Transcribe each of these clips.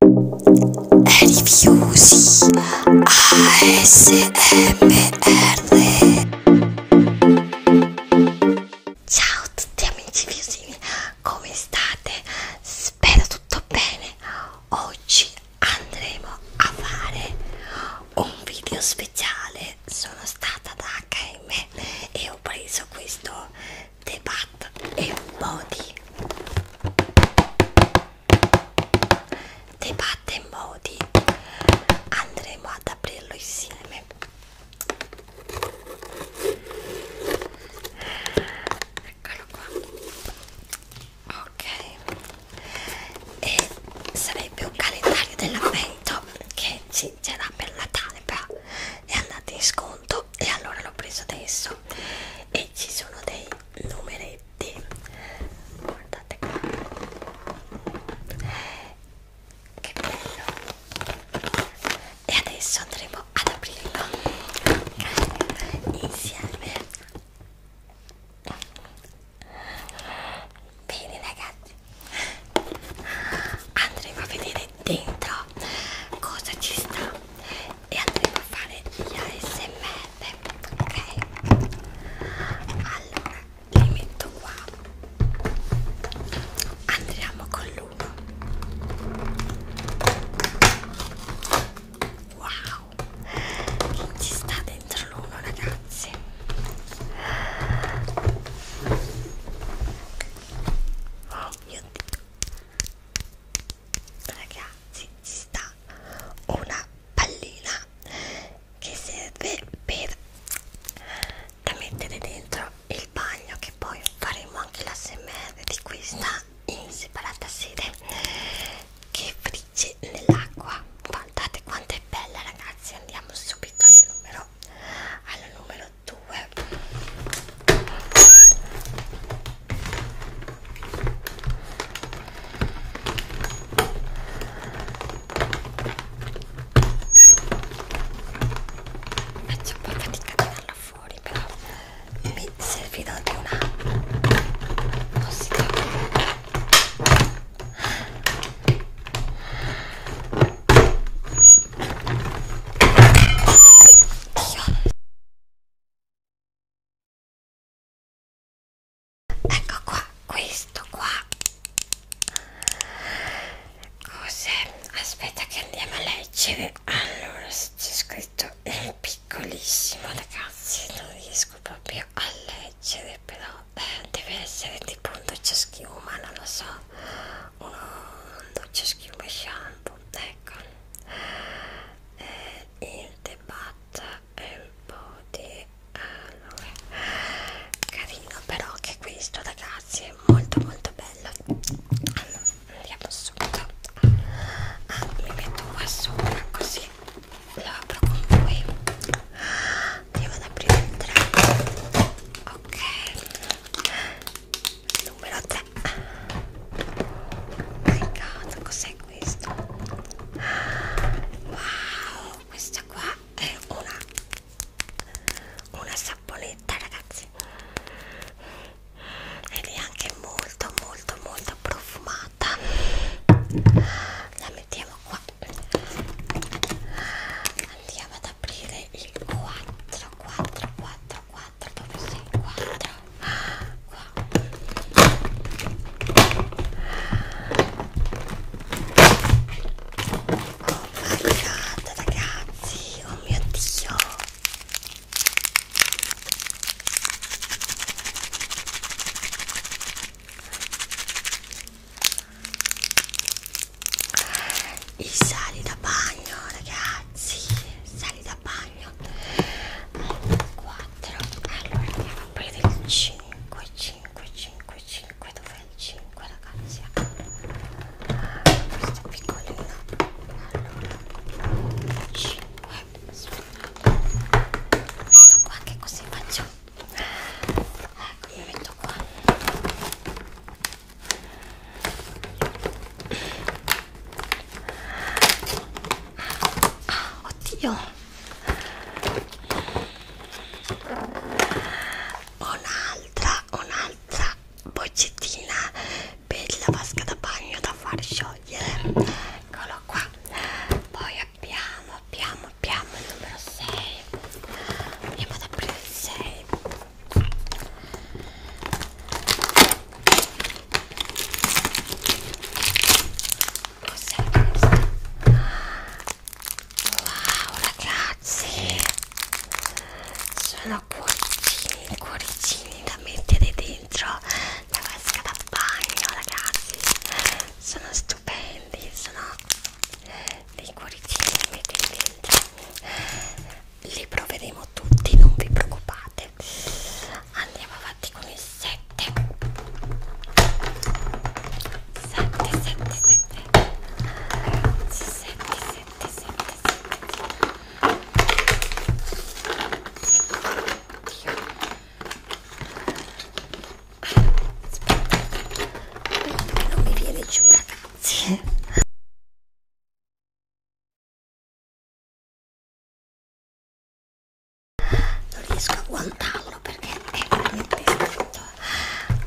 Rifiusi ASMR Ciao a tutti amici fiusini, come state? Spero tutto bene. Oggi andremo a fare un video speciale. Sono stata da HM e ho preso questo The Bat e un po' di The Bat e Modi andremo ad aprirlo insieme eccolo qua ok e sarebbe un calendario dell'avvento che c'era per Natale però è andato in sconto e allora l'ho preso adesso e ci sono dei numeretti guardate qua che bello e adesso andremo ad aprirlo insieme bene ragazzi andremo a vedere dentro cosa ci sta e andremo a fare gli ASMR, ok? Allora, li metto qua. Andiamo con l'uno. Wow! Ci sta dentro l'uno, ragazzi. Io ragazzi ci sta una pallina che serve per da mettere dentro il bagno che poi faremo anche la smr di questa in separata sede che frigge nell'acqua guardate quanto è bella ragazzi andiamo subito alla numero alla numero 2 Faccio un po' fatica a tirarla fuori, però mi servirà di una tossica. Dio ecco qua questo qua cos'è aspetta che andiamo a leggere allora c'è scritto è piccolissimo ragazzi non riesco proprio a leggere però eh, deve essere tipo un doccia schiuma non lo so un doccia schiuma shampoo ecco eh, il debat è un po' di eh, allora, carino però che questo ragazzi è molto molto bello allora andiamo subito ah, mi metto qua sopra così lo apro con voi devo ad aprire il 3 ok numero 3 Peccato, cos'è questo? Wow, questa qua è una, una saponetta, ragazzi. Ed è anche molto, molto, molto profumata. La mettiamo qua. Andiamo ad aprire il 4, 4, 4, 4 proprio così, guarda guarda ragazzi, oh mio dio i sali da bagno ragazzi sali da bagno bagno allora, 4 allora andiamo a prendere il 5 5 5 5 dov'è il 5 ragazzi ah, questo è piccolino allora 5 metto qua che così faccio ecco mi metto qua Oddio. Un'altra, un'altra boccettina per la vasca da bagno da far sciogliere. Eccolo qua. Poi abbiamo, abbiamo, abbiamo il numero 6. Andiamo ad aprire il 6. Cos'è questo? Wow ragazzi Sono cuoricini, cuoricini da mettere dentro la vasca da bagno ragazzi Sono stupendi, sono dei cuoricini da mettere dentro Li proveremo tutti, non vi preoccupate 7 andiamo avanti con il 7 7 7 7 7 7 7 7 non mi viene giù ragazzi non riesco a guantarlo perché è veramente scritto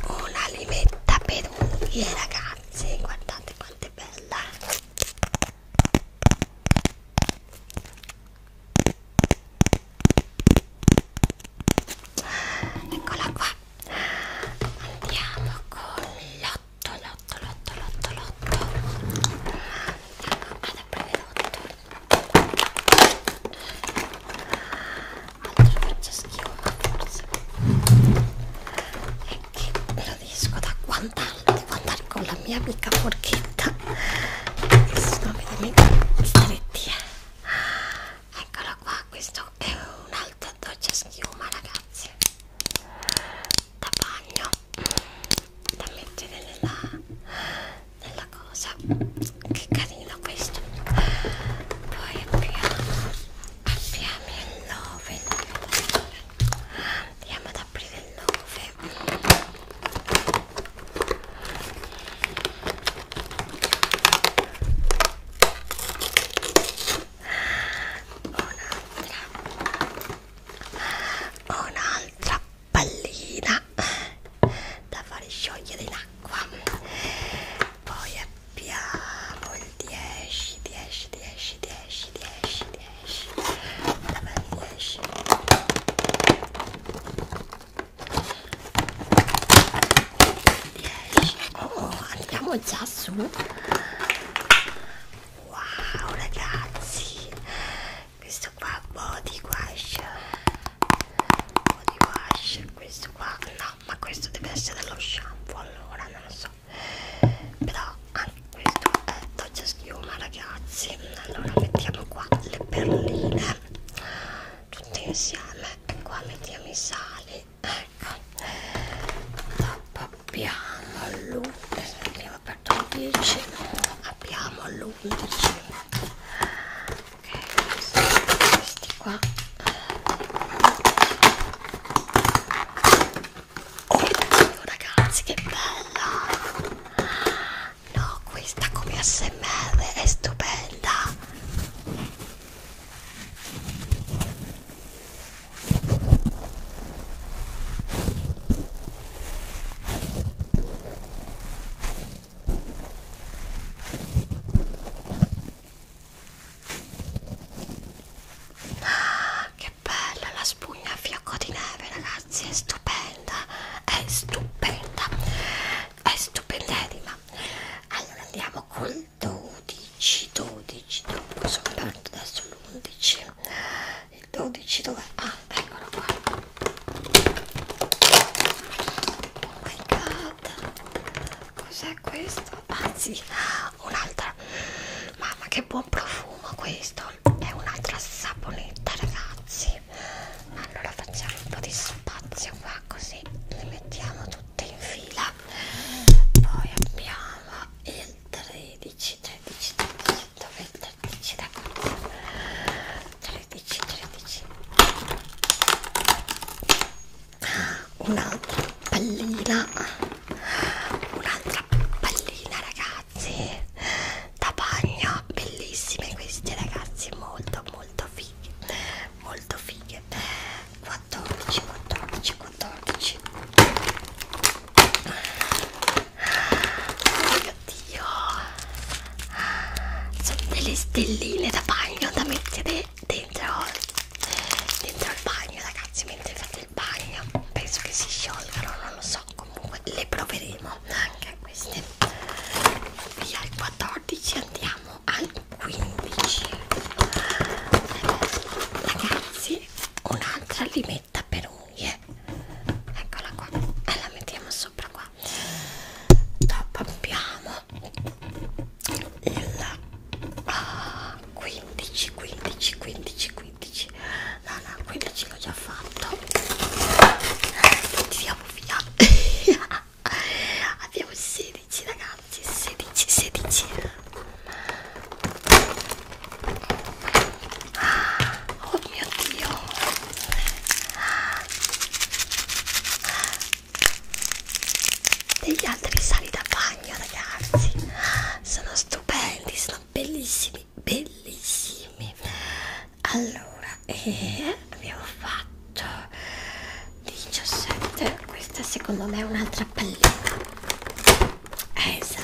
una limetta per unghie ragazze guardate quanto è bella eccola qua andiamo con l'ottolo lotto, lotto, lotto, lotto. Vado a prendere lotto. Altro faccio schifo, ma forse. E che gradisco da guantarlo, guardare con la mia amica forchetta. Che sono veramente stretti. Eh. Eccolo qua, questo è un altro dolce schiuma, ragazzi. Da bagno da mettere nella, nella cosa che carino questo poi abbiamo abbiamo il 9 andiamo ad aprire il 9 un'altra un'altra pallina da fare sciogliere in acqua poi abbiamo il 10 10 10 10 10 10 10 10 oh andiamo già su wow ragazzi questo qua body wash body wash questo qua no ma questo deve essere dello shampoo allora non lo so però anche questo è doccia schiuma ragazzi allora mettiamo qua le perline tutte insieme e qua mettiamo i sali ecco dopo abbiamo l'uno aperto il 10 abbiamo l'11 ok questi, questi qua oh ragazzi che bella no questa come smr è stupenda Ah, che bella la spugna a fiocco di neve, ragazzi, è stupenda, è stupenda, è stupendissima. Allora andiamo col 12, 12, dopo sono aperto adesso l'11 il 12 dove? ah eccolo qua oh my god cos'è questo? anzi un'altra mamma che buon profumo questo è un'altra saponetta ragazzi allora facciamo un po' di spazio qua così le mettiamo tutte in fila poi abbiamo il 13 13 13 dove 13 da corsa 13 13 un'altra pallina un'altra pallina ragazzi da bagno bellissime queste ragazzi molto molto fighe molto fighe 14 14 14 Oh mio Dio! Sono delle stelline da bagno da mettere dentro, dentro il bagno, ragazzi. Mentre fate il bagno, penso che si sciolgano, non lo so. Comunque le proveremo anche queste. Via il 14 andiamo al 15. Ragazzi, un'altra limetta per unghie eccola qua e eh, la mettiamo sopra qua dopo abbiamo il ah, 15 15 15 15 no no 15 l'ho già fatto eh, tiriamo via abbiamo 16 ragazzi 16 16 Ah, oh mio Dio! Ah. Degli altri sali da bagno, ragazzi! Sono stupendi, sono bellissimi, bellissimi! Allora, e eh, abbiamo fatto 17. Questa secondo me è un'altra pallina. Esatto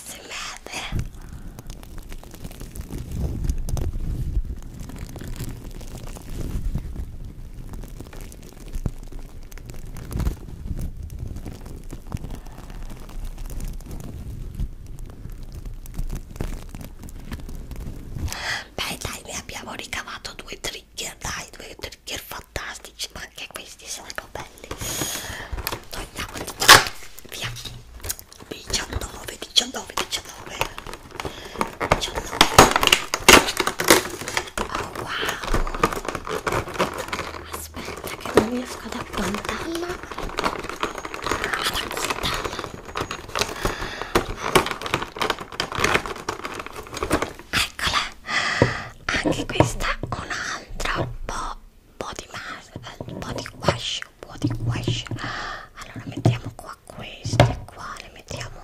ASMR Beh dai, ne abbiamo ricavato due trigger, dai, due trigger fantastici, ma anche questi sarebbero belli noi andiamo di qua via 19 19 19 19 oh wow aspetta che non riesco ad appuntarla ad appuntarla eccola anche questa un'altra un po' body mask, eh, body wash, body wash. Allora mettiamo qua questi, qua le mettiamo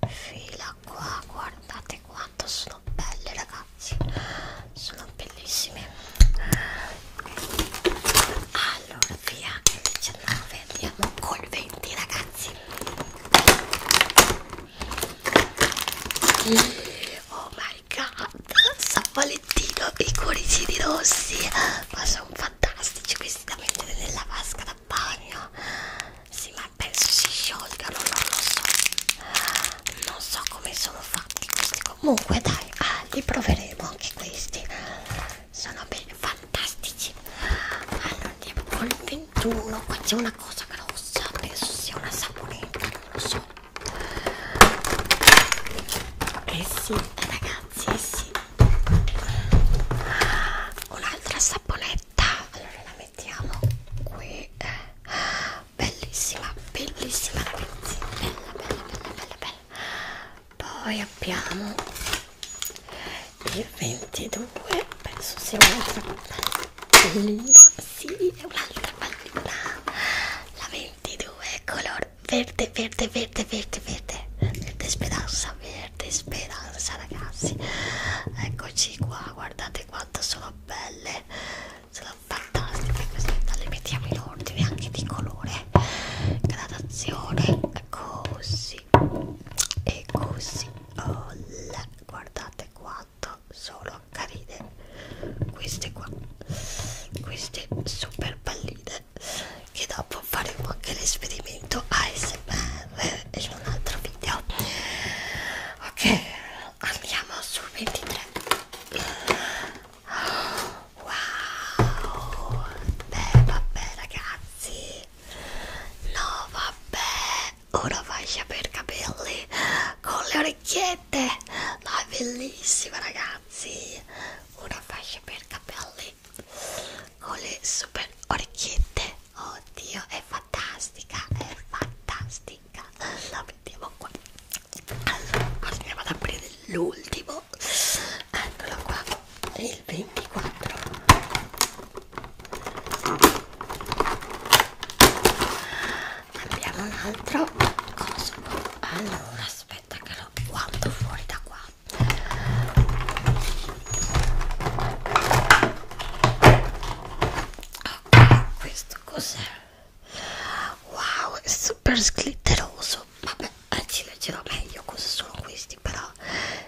in fila qua. Guardate quanto sono belle ragazzi, sono bellissime. Allora via il 19, andiamo col 20 ragazzi. Oh my my god San Valentino e i cuoricini rossi ma sono fantastici questi da mettere nella vasca da bagno sì ma penso si sciolgano non lo so non so come sono fatti questi comunque dai ah, li proveremo anche questi sono belli fantastici allora andiamo col 21 qua c'è una cosa grossa penso sia una saponetta non lo so eh sì ragazzi eh sì un'altra saponetta allora la mettiamo qui bellissima bellissima ragazzi bella bella bella bella bella poi abbiamo il 22 penso sia un'altra pallina sì è un'altra pallina la 22 color verde verde verde verde verde verde speranza verde speranza ragazzi eccoci qua guardate quanto sono belle sono fantastiche queste le mettiamo in ordine anche di colore gradazione così e così oh, guardate quanto sono carine queste qua queste super palline che dopo faremo anche l'esperimento ASMR in un altro video ok andiamo sul 23 wow beh vabbè ragazzi no vabbè ora vai per capelli con le orecchie orecchiette ma è bellissima ragazzi una fascia per capelli con le super orecchiette oddio è fantastica è fantastica la mettiamo qua allora andiamo ad aprire l'ultimo eccolo qua il 24 abbiamo un altro coso allora aspetta che lo guardo fuori da qua ok questo cos'è wow è super glitteroso vabbè ci leggerò meglio cosa sono questi però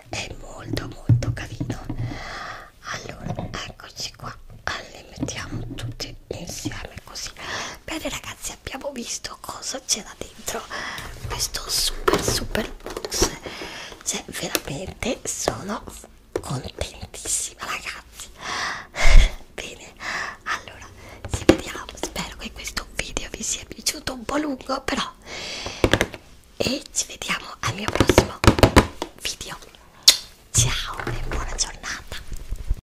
è molto molto carino allora eccoci qua li mettiamo tutti insieme così bene ragazzi abbiamo visto cosa c'era dentro questo super super box cioè veramente sono contentissima ragazzi bene allora ci vediamo spero che questo video vi sia piaciuto un po' lungo però e ci vediamo al mio prossimo video ciao e buona giornata